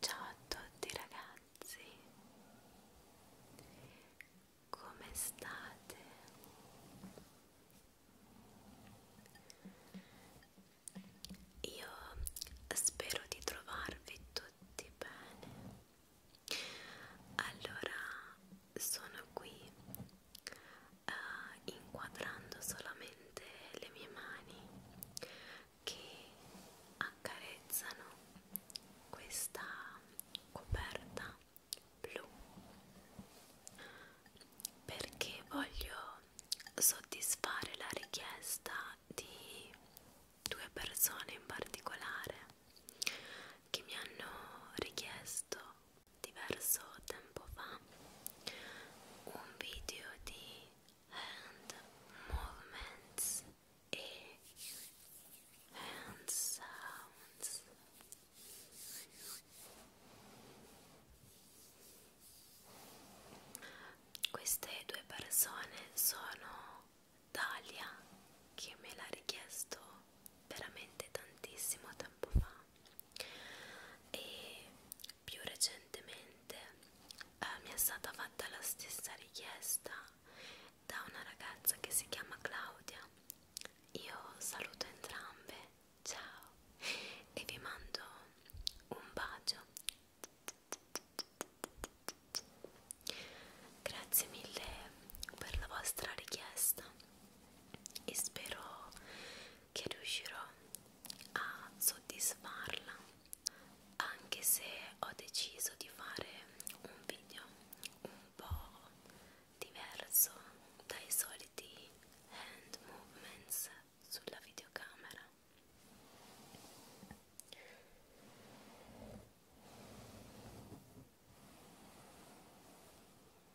Ciao a tutti ragazzi, come state? Io spero di trovarvi tutti bene. Allora, sono qui eh, inquadrando solamente le mie mani che accarezzano questa coperta blu perché voglio soddisfare la richiesta di due persone in particolare che mi hanno richiesto diverso tempo fa un video di hand movements e hand sounds queste due persone sono Dalia che me l'ha richiesto veramente tantissimo tempo fa e più recentemente eh, mi è stata fatta la stessa richiesta da una ragazza che si chiama Claudia io saluto entrambe ciao e vi mando un bacio grazie mille per la vostra richiesta e spero che riuscirò a soddisfarla anche se ho deciso di fare un video un po' diverso dai soliti hand movements sulla videocamera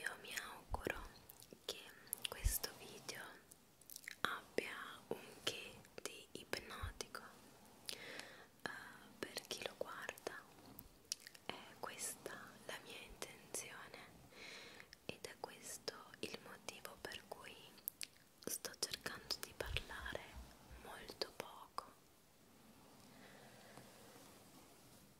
io mi auguro che questo video abbia un che di ipnotico uh, per chi lo guarda è questa la mia intenzione ed è questo il motivo per cui sto cercando di parlare molto poco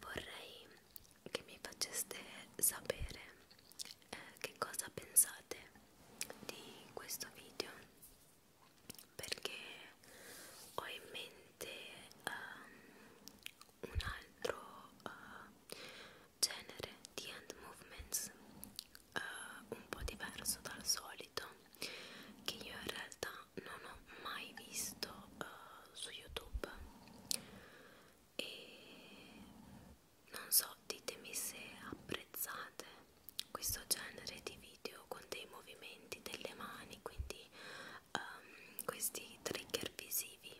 Vorrei che mi faceste sapere eh, che cosa pensate di questo video perché ho in mente um, un altro uh, genere di hand movements eh, un po' diverso dal solito che io in realtà non ho mai visto eh, su YouTube e non so, ditemi se apprezzate questo genere di video con dei movimenti delle mani, quindi um, questi trigger visivi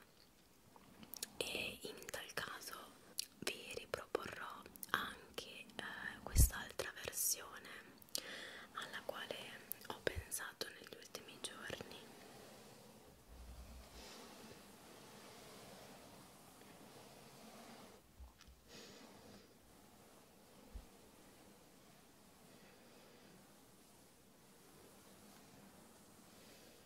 e in tal caso vi riproporrò anche eh, quest'altra versione alla quale ho pensato negli ultimi giorni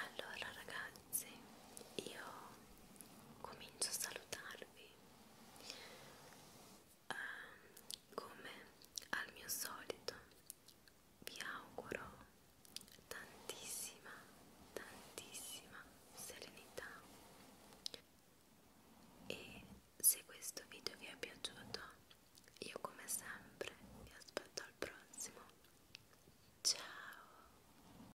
Allora ragazzi, io comincio a salutarvi um, come al mio solito vi auguro tantissima tantissima serenità e se questo video vi è piaciuto io come sempre vi aspetto al prossimo ciao